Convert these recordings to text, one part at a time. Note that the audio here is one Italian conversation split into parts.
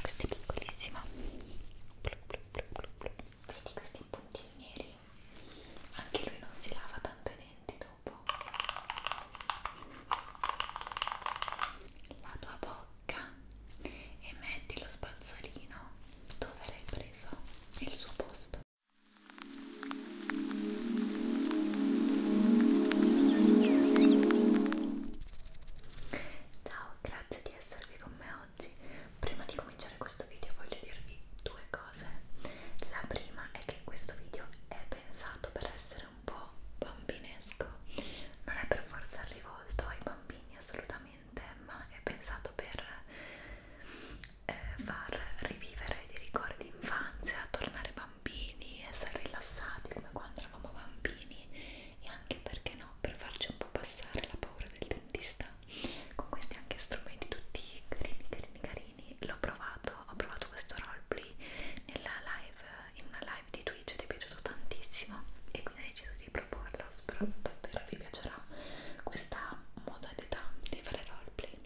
questa è piccolissima vedi questi puntini neri anche lui non si lava tanto i denti dopo la tua bocca e metti lo spazzolino dove l'hai preso nel suo posto Ciao, grazie di esservi con me oggi. Prima di cominciare questo video voglio dirvi due cose. La prima è che questo video è pensato per essere un po' bambinesco. Non è per forza rivolto ai bambini assolutamente, ma è pensato per eh, far rivivere dei ricordi d'infanzia, tornare bambini, essere rilassati come quando eravamo bambini e anche perché no, per farci un po' passare la paura del dentista con questi anche strumenti tutti carini carini carini l'ho provato, ho provato questo roleplay nella live, in una live di Twitch ed è piaciuto tantissimo e quindi ho deciso di proporlo, spero davvero vi piacerà questa modalità di fare roleplay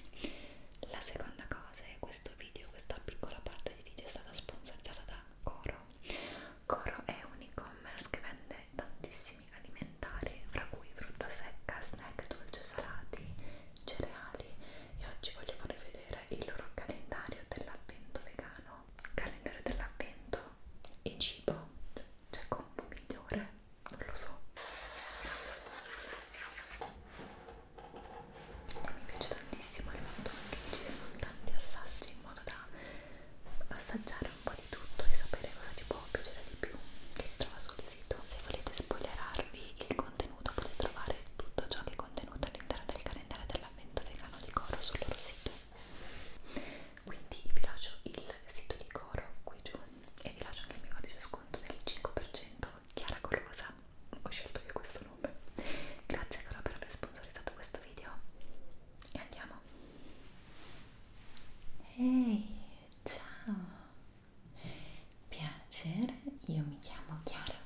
la seconda cosa base questo video, questa piccola parte di video è stata sponsorizzata da Coro. Coro è un e-commerce che vende tantissimi alimentari, fra cui frutta secca, snack, dolce salati, cereali e oggi voglio farvi vedere il loro calendario dell'avvento vegano. Calendario dell'avvento e cibo, c'è combo migliore, non lo so e mi piace tantissimo il fatto che ci siano tanti assaggi in modo da assaggiare un po' di tutto e sapere cosa ti può piacere di più che si trova sul sito se volete spoilerarvi il contenuto potete trovare tutto ciò che è contenuto all'interno del calendario dell'avvento vegano di Coro sul loro sito quindi vi lascio il sito di Coro qui giù e vi lascio anche il mio codice sconto del 5% Chiara Golosa, ho scelto io questo nome. Grazie ancora per aver sponsorizzato questo video. E andiamo. Ehi, ciao. Piacere, io mi chiamo Chiara.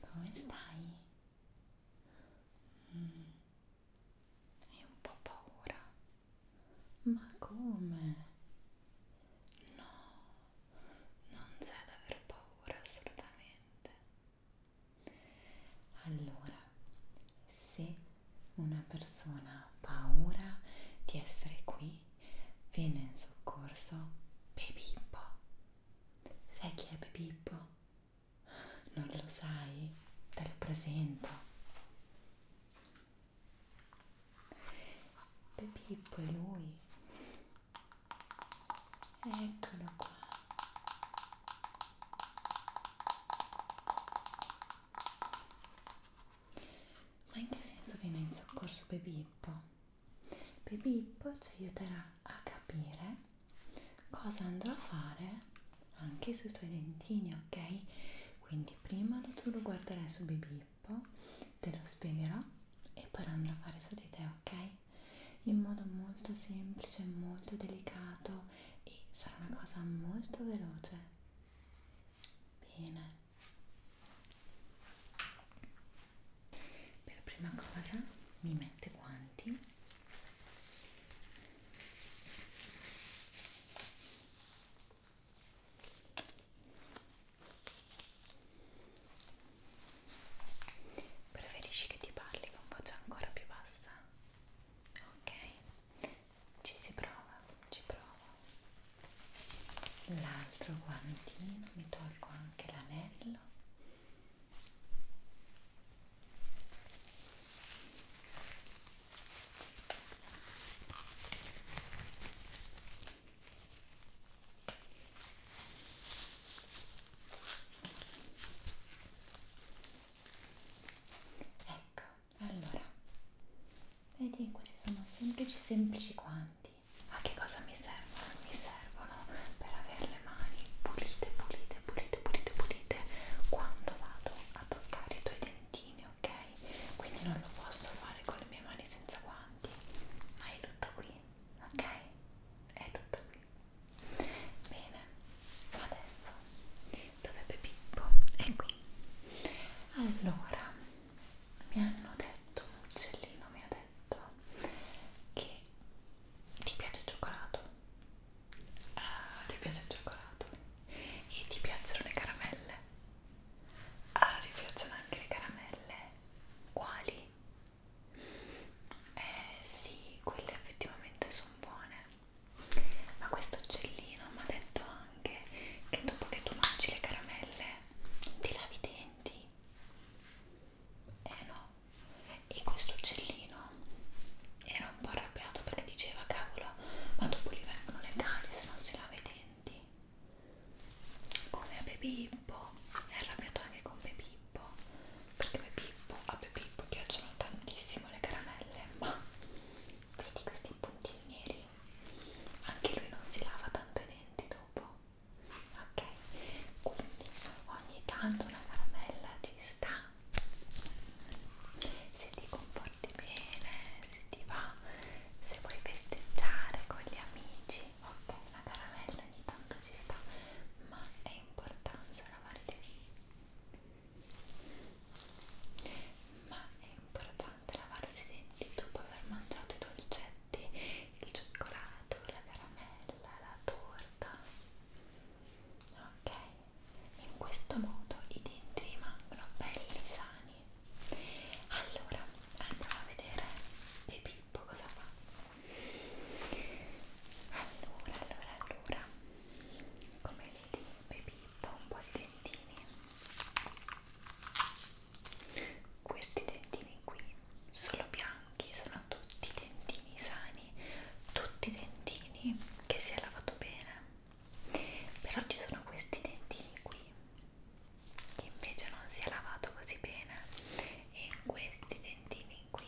Come stai? Mm. Hai un po' paura? Ma come? No, non c'è da aver paura assolutamente. Allora, se una persona ha paura di essere qui, viene in soccorso Pepippo. Sai chi è Pepippo? Non lo sai? Te lo presento. Pepippo è lui, eccolo qua ma in che senso viene in soccorso Bebippo? Bebippo ci aiuterà a capire cosa andrò a fare anche sui tuoi dentini ok? quindi prima tu lo guarderai su Bebippo Filippo te lo spiegherà e poi lo andrà a fare su di te, ok? In modo molto semplice, molto delicato e sarà una cosa molto veloce. Bene. Per prima cosa mi metto i guanti. Preferisci che ti parli con voce ancora più bassa? Ok, ci si prova, ci provo. L'altro guantino, mi tolgo anche l'anello. Ecco, allora, vedi, questi sono semplici, semplici guanti. A che cosa mi servono? Mi servono per avere le mani pulite, pulite, pulite, pulite, pulite quando vado a toccare i tuoi dentini, ok? Quindi non lo posso fare con le mie mani senza guanti, ma è tutto qui ok? È tutto qui. Bene, adesso dovrebbe Pippo? È qui. Allora, mi hanno detto, un uccellino mi ha detto che ti piace il cioccolato. Ah, ti piace il cioccolato. E ti piacciono le caramelle. Ah, ti piacciono anche le caramelle. Quali? eh sì, quelle effettivamente sono buone ma questo uccellino mi ha detto anche che dopo che tu mangi le caramelle ti lavi i denti eh no e questo uccellino era un po' arrabbiato perché diceva cavolo ma dopo gli vengono le cali se non si lava i denti come a Bepippo è arrabbiato anche con Bepippo perché Bepippo, a Bepippo piacciono tantissimo le caramelle ma vedi questi puntini neri anche lui non si lava tanto i denti dopo ok quindi ogni tanto una caramella ci sta se ti comporti bene se ti va se vuoi festeggiare con gli amici dici ok la caramella ogni tanto ci sta ma è importante lavare i denti ma è importante lavarsi i denti dopo aver mangiato i dolcetti il cioccolato la caramella la torta ok in questo modo i denti rimangono belli sani allora andiamo a vedere Baby Filippo cosa fa? Allora, allora, allora, come le dice Pippo, un po' di dentini. Questi dentini qui sono bianchi, sono tutti dentini sani, tutti dentini che si è lavato bene. Però ci sono questi dentini qui che invece non si è lavato così bene e questi dentini qui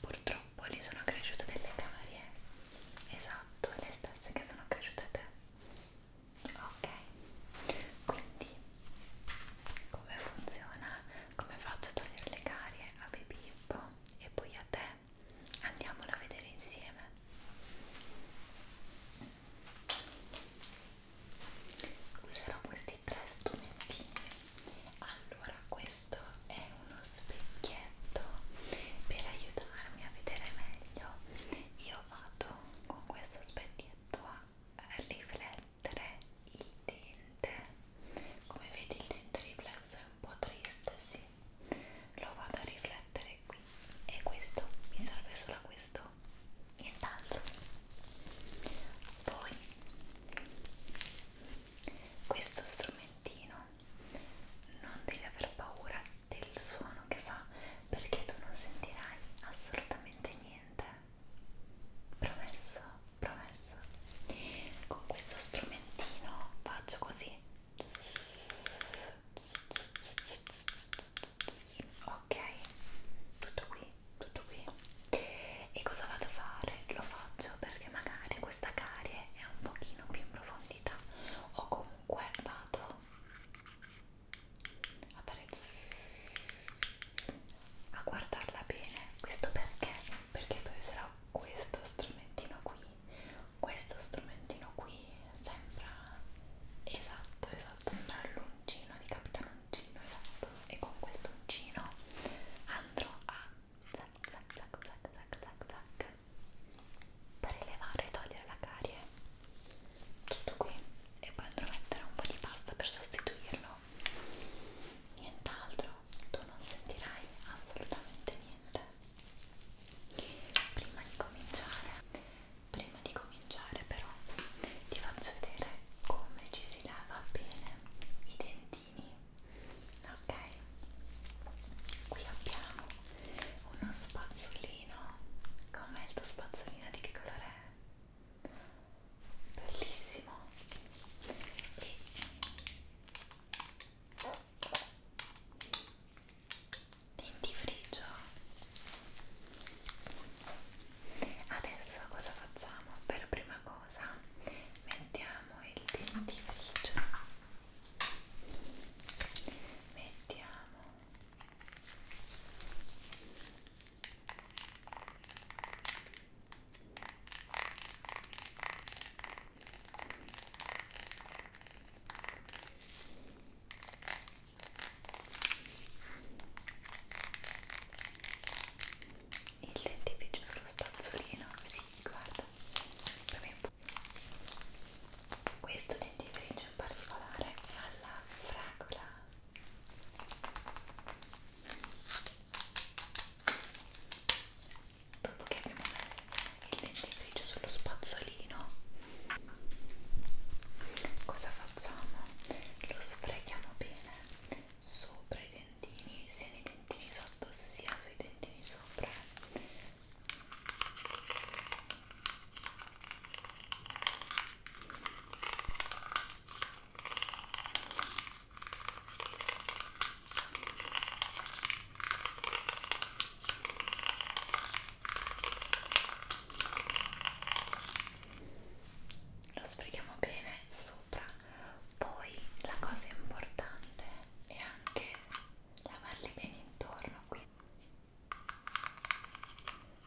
purtroppo lì sono cresciute delle carie esatto le stesse che sono cresciute a te ok quindi come funziona come faccio a togliere le carie a Bibippo e poi a te andiamolo a vedere insieme userò questi tre strumentini allora questo è uno specchietto per aiutarmi a vedere meglio io vado con questo specchietto a riflettere il dente come vedi il dente riflesso è un po' triste sì lo vado a riflettere qui e questo mi serve solo a questo nient'altro poi questo strumentino non devi aver paura del suono che fa perché tu non sentirai assolutamente niente promesso promesso con questo strumentino faccio così ok tutto qui tutto qui e cosa vado a fare lo faccio perché magari questa carie è un pochino più in profondità o comunque vado a fare a guardarla bene questo perché perché poi sarà questo strumentino qui questo strumentino qui sembra esatto esatto sembra uncino di Capitano Uncino, esatto, e con questo uncino andrò a zac zac zac zac zac zac zac per elevare e togliere la carie tutto qui e poi andrò a mettere un po' di pasta per sostituirlo nient'altro tu non sentirai assolutamente niente prima di cominciare prima di cominciare però ti faccio vedere come ci si lava bene i dentini ok qui abbiamo uno spazzolino com'è il tuo spazzolino di che colore è? bellissimo e dentifrigio adesso cosa facciamo? per prima cosa mettiamo il dentifricio mettiamo il dentifricio sullo spazzolino si sì, guarda questo dentifricio in particolare alla fragola dopo che abbiamo messo il dentifricio sullo spazzolino cosa facciamo? lo sprechiamo bene sopra i dentini sia nei dentini sotto sia sui dentini sopra lo sfreghiamo bene sopra poi la cosa importante è anche lavarli bene intorno qui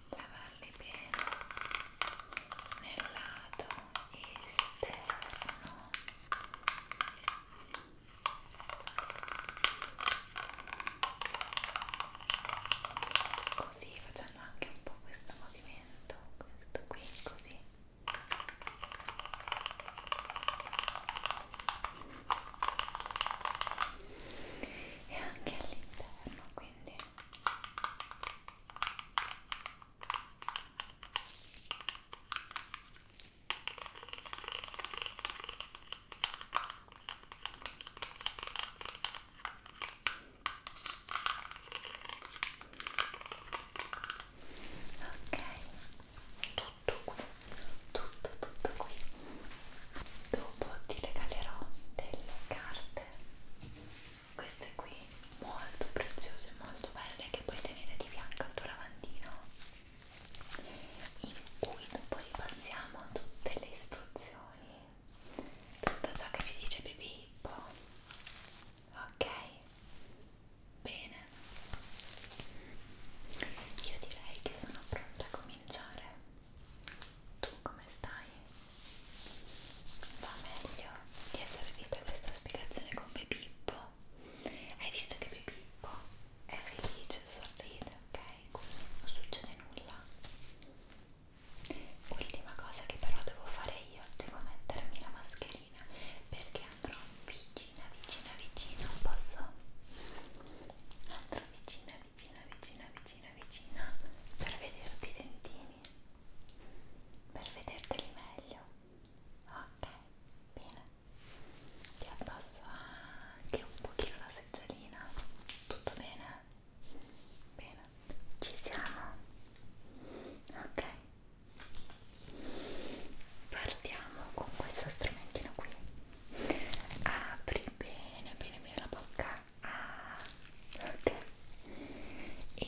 lavarli bene nel lato esterno così facendo anche un po' questo movimento questo qui così e anche all'interno quindi ok Ok, tutto qui, tutto tutto qui. Dopo ti regalerò delle carte, queste qui, molto preziose, molto belle, che puoi tenere di fianco al tuo lavandino, in cui dopo ripassiamo tutte le istruzioni tutto ciò che ci dice Pippo ok bene io direi che sono pronta a cominciare tu come stai? va meglio? ti è servita questa spiegazione con Pippo? hai visto che Pippo è felice, sorride ok? quindi non succede nulla Ultima cosa che però devo fare io, devo mettermi la mascherina perché andrò vicina, vicina, vicina, posso? Andrò vicina, vicina, vicina, vicina, vicina per vederti i dentini, per vederteli meglio. Ok, bene. Ti abbasso anche un pochino la seggiolina. Tutto bene? Bene, ci siamo. Ok. Partiamo con questo strumentino qui. Apri bene, bene, bene la bocca. Ah, ok. E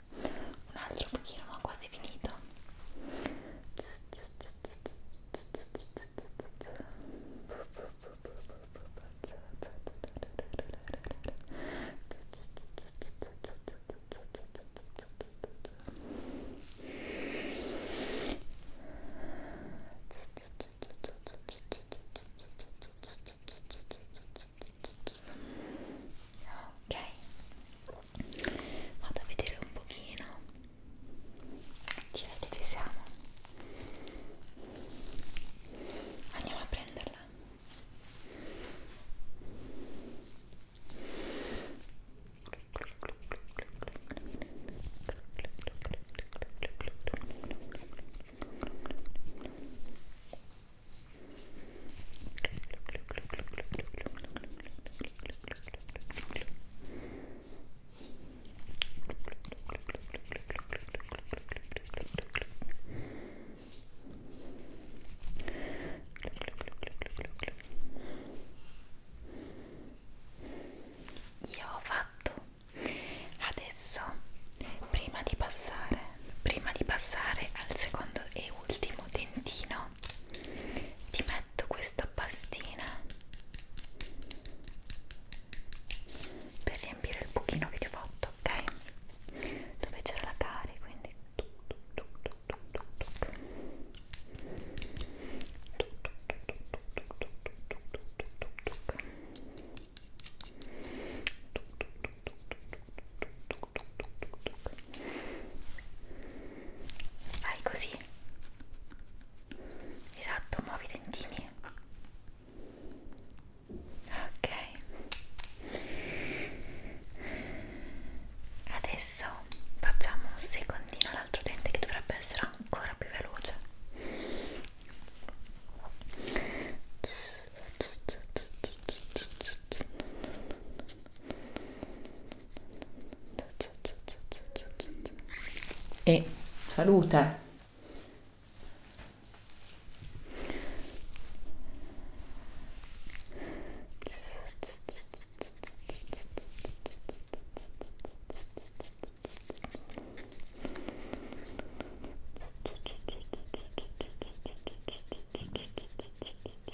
un altro pochino ma quasi finito ok vado a vedere un pochino direi che ci siamo andiamo a prenderla io ho fatto adesso prima di passare prima di passare al secondo e ultimo dentino qua ti metto questa pastina per riempire il buchino che ti ho fatto, ok? Dove c'era la cari, quindi tuc, tuc, tuc, tuc, tuc, tuc. Tuc, tuc, tuc, tuc, tuc, tuc, tuc. Tuc, tuc, tuc, tuc, tuc, tuc, tuc. Vai così. Esatto, muovi i dentini. Ok. Adesso facciamo un secondino all'altro dente che dovrebbe essere ancora più veloce e salute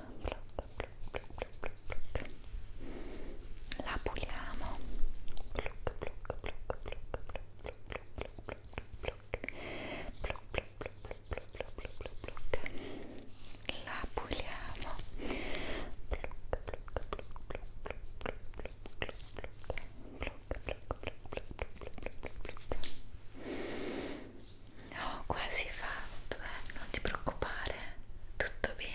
la puliamo la puliamo ho oh, quasi fatto eh? non ti preoccupare tutto bene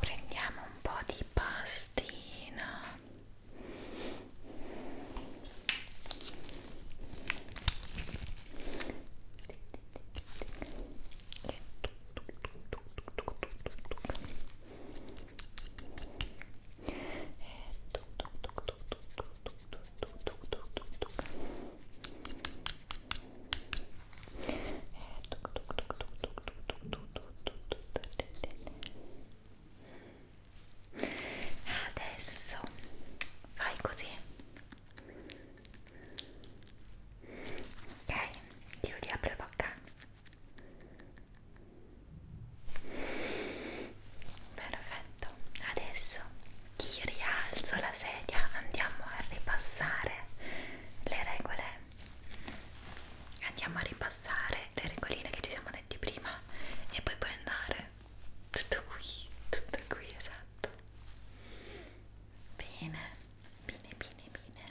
prendiamo un po' di pastina e Adesso fai così. Ok, io riapro la bocca perfetto adesso ti rialzo la sedia andiamo a ripassare le regole andiamo a ripassare le regoline che ci siamo detti prima e poi puoi andare tutto qui tutto qui esatto bene bene bene bene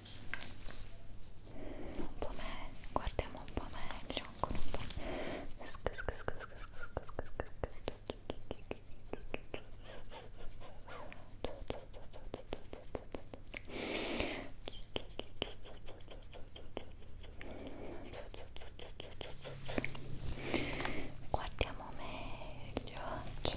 un po' me guardiamo un po' meglio ancora un po' guardiamo meglio ok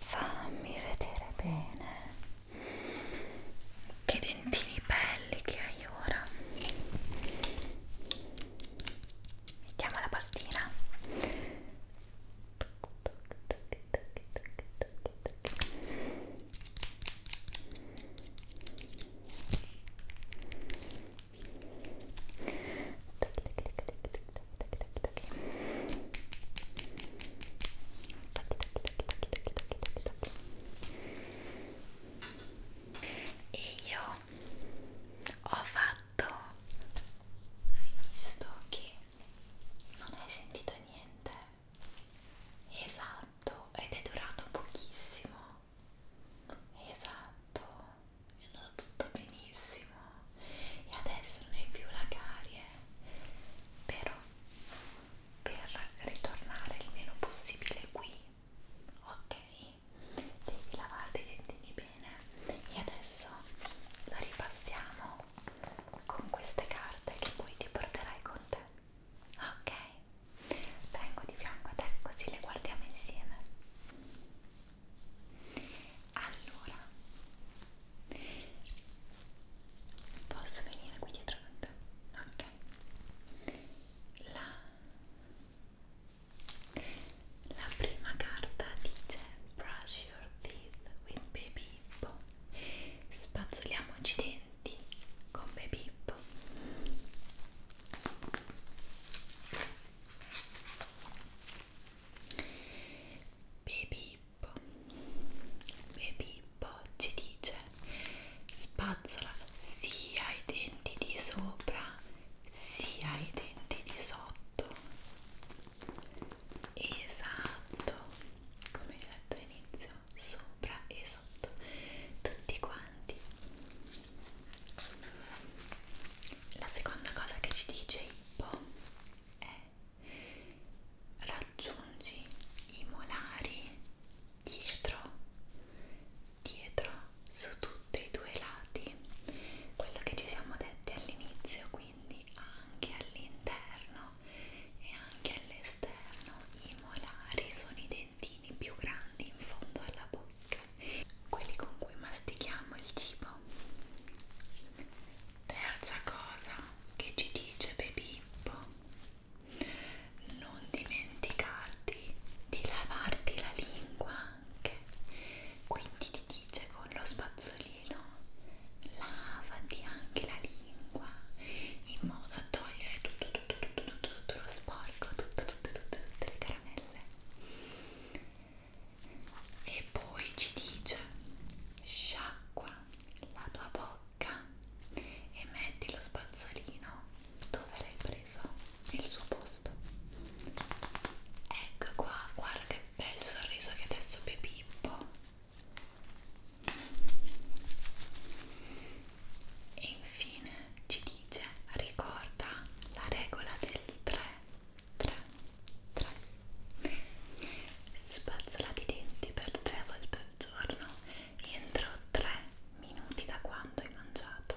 Fammi vedere bene che dentini belli che hai ora. Mettiamo la pastina e io ho fatto hai visto che non hai sentito niente esatto ed è durato pochissimo esatto è andato tutto benissimo e adesso non hai più la carie però per ritornare il meno possibile qui ok devi lavarti i dentini bene e adesso lo ripassiamo con queste carte che poi ti porterai con te ok vengo di fianco a te così le guardiamo insieme allora posso venire qui dietro a te? ok la, la prima carta dice brush your teeth with baby hippo spazzoliamoci i denti con baby hippo Bebippo Bebippo ci dice spazzola sia i denti di sopra sia i denti di sotto esatto come vi ho detto all'inizio sopra e sotto tutti quanti importanti. La seconda cosa che ci dice Ippo è raggiungi i molari dietro, dietro su tutti i due lati. Quello che ci siamo detti all'inizio, quindi anche all'interno e anche all'esterno i molari sono i dentini più grandi in fondo alla bocca quelli con cui mastichiamo il cibo. Terza cosa che ci dice Bebippo, non dimenticarti di lavarti la lingua anche, quindi ti dice con lo spazzolino lavati anche la lingua in modo da togliere tutto tutto tutto tutto, tutto lo sporco, tutte tutte tutte tutte le caramelle e poi ci dice sciacqua la tua bocca e metti lo spazzolino dove l'hai preso il suo posto ecco qua guarda che bel sorriso che adesso Pepippo e infine ci dice ricorda la regola del 3 3 3 spazzolati i denti per tre volte al giorno entro 3 minuti da quando hai mangiato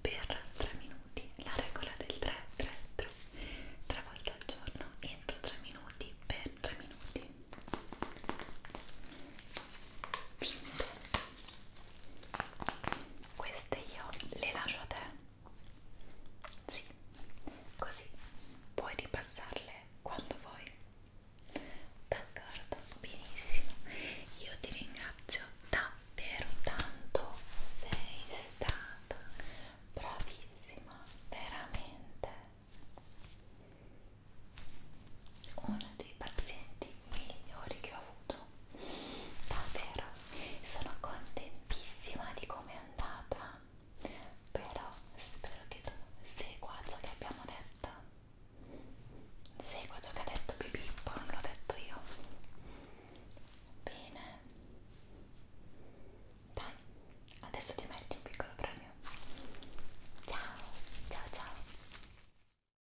per 3 minuti la regola del 3 3 3 3 volte al giorno entro 3 minuti per 3 minuti Finito queste io le lascio a te sì così puoi ripassarle quando vuoi d'accordo benissimo io ti ringrazio davvero tanto sei stata bravissima veramente uno dei pazienti migliori che ho avuto davvero sono contentissima di come è andata però spero che tu segua ciò che abbiamo detto segua ciò che ha detto Pipippo non l'ho detto io bene dai adesso ti metti un piccolo premio ciao ciao ciao